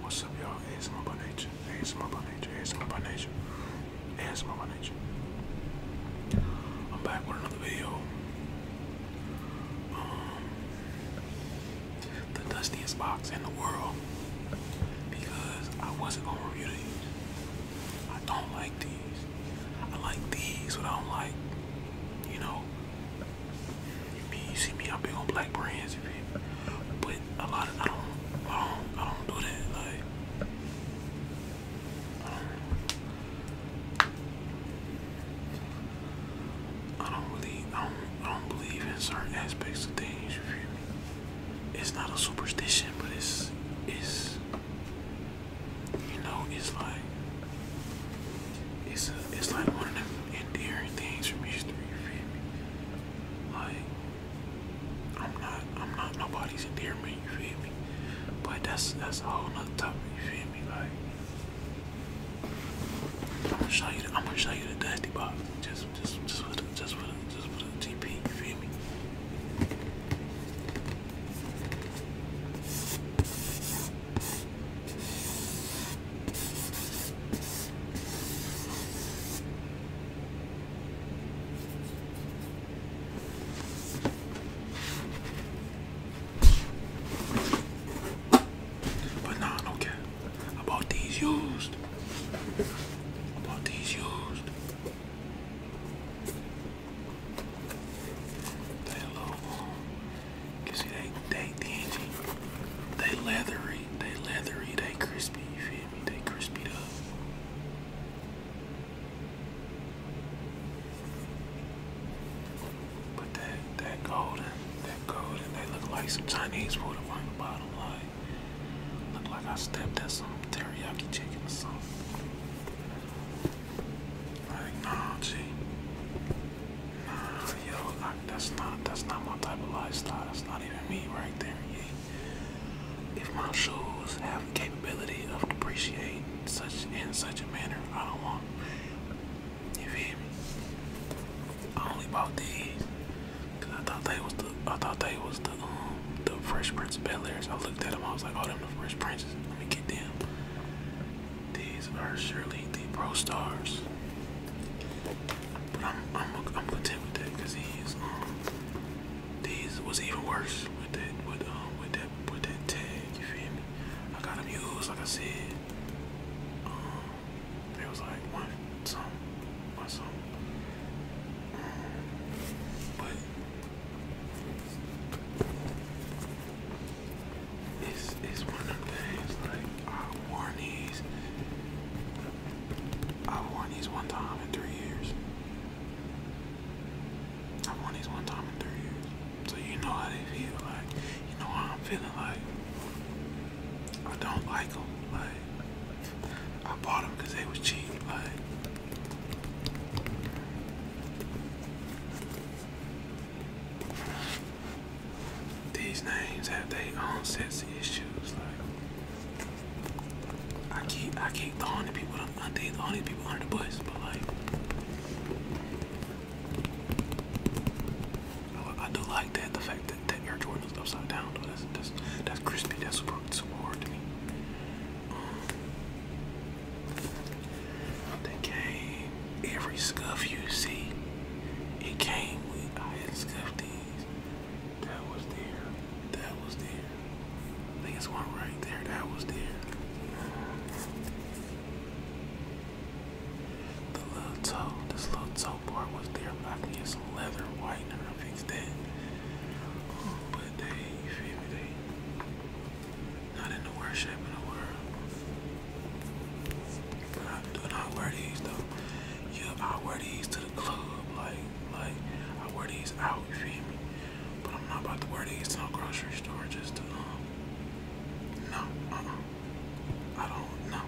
What's up, y'all? ASMR by nature. ASMR by nature. ASMR by nature. ASMR by nature. I'm back with another video. Um, the dustiest box in the world because I wasn't gonna review these. I don't like these. I like these, but I don't like, you know, you, see me, I'm big on black brands, you But a lot of, I don't, I don't, I don't do that, like, I don't, I I don't, I don't believe in certain aspects of things, you feel me? It's not a superstition, but it's, it's, you know, it's like it's a, it's like one of them endearing things from history. You feel me? Like I'm not I'm not nobody's endearment. You feel me? But that's that's a whole nother topic. You feel me? Like I'm gonna show you the, I'm gonna show you the dusty box just just just for just for the, just for the GP. You feel me? But I not care. I bought these used. I bought these used. They Cause see they they dingy. They leathery, they leathery, they crispy, you feel me? They crispied up. But that that golden, that golden, they look like some Chinese food on the bottom line. Look like I stepped at some teriyaki chicken or something. I think nah, G. Nah, yo, that's not that's not my type of lifestyle. That's not even me right there. If my shoes have the capability of depreciate such in such a manner, I don't want. You feel me? I only bought these I thought they was the I thought they was the um the Fresh Prince of Bel I looked at them. I was like, oh, them the Fresh Princes. Let me get them. These are surely the pro stars. But I'm I'm content with that because he's um, these was even worse with that with um with that with that tag, you feel me? I got him used like I said. Um was like one some one some um, but it's is one of the things like I worn these. I've these one time in three years. I've these one time in three years. So you know how they feel like. You know how I'm feeling like. I don't like them. Like I bought them because they was cheap. Like these names have their own sets of issues. Like I keep I keep throwing the people I think the only people under the bus, but like I do like that the fact that that Air Jordan is upside down though. That's that's that's crispy, that's super, super hard to me. They came, every scuff you see, it came with, I had scuffed these. That was there, that was there. I think one right there, that was there. The little toe, this little toe part was there, but I can get some leather whitener to fix that. But they, you they, not in the worst shape in the world. Not, do not wear these though. Yeah, I wear these to the club. Like, like I wear these out. You feel me? But I'm not about to wear these to no grocery store just to um. No, uh, -uh. I don't know.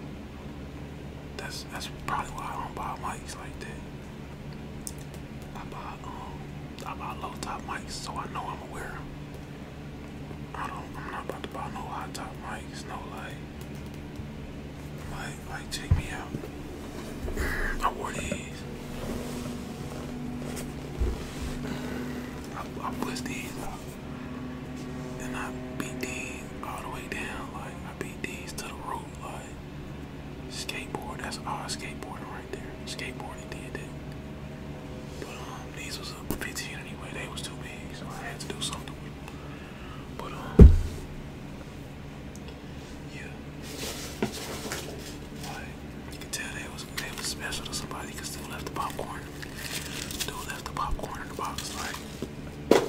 That's that's probably why I don't buy mics like that. I buy um I about low top mics, so I know I'm aware. I don't. I'm not about to buy no high top mics. No like, like, like, take me out. I wore these. I, I pushed these and I beat these all the way down. Like I beat these to the roof. Like skateboard. That's all skateboarding Skateboarding did that. But um, these was a 15 anyway. They was too big, so I had to do something But um, yeah. you can tell they was they was special to somebody because dude left the popcorn. Dude left the popcorn in the box. Like,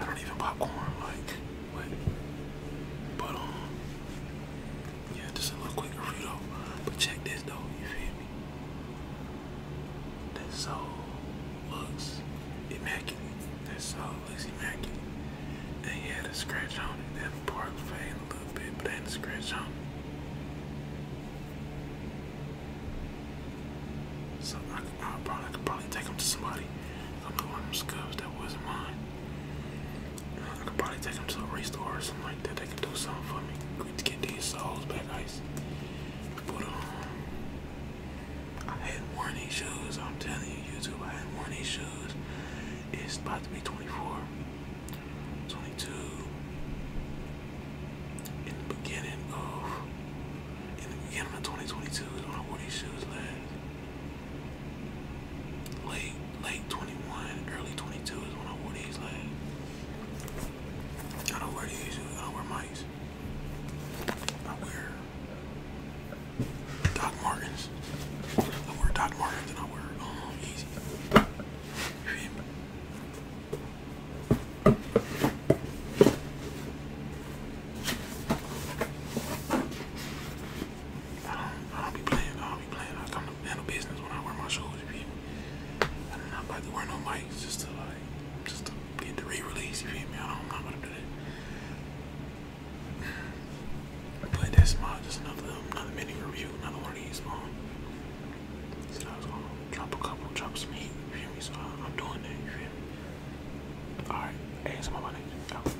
I don't even popcorn. Like, But um, yeah, just a little quicker quick though. But check this though, you feel me? That soul looks immaculate. That soul looks immaculate. And he had a scratch on it. That part faded a little bit, but ain't a scratch on it. So I probably, could probably take him to somebody. I'm the one of them scubs that wasn't mine. I could probably take them to a restore or something like that. They can do something for me to get these soles back ice. Um, I had worn these shoes. I'm telling you, YouTube, I had worn these shoes. It's about to be 24, 22. In the beginning of, in the beginning of 2022 is when I wore these shoes last late late 21, early 22 is when I wore these last. I don't wear these. I don't wear mics. I wear Doc Martens. I wear Doc Martens I wear um easy. I don't, I don't be playing. I don't be playing. I come to handle business when I wear my shoes. You feel me? I'm not about to wear no mics just to like, just to get the re-release. You feel me? I don't, I'm not gonna do that. But that's my just another um, another mini review, another one of these. Um, so I was gonna drop a couple, drop some heat. You feel me? So I, I'm doing that. You feel me? All right. Hey, it's my money. Go.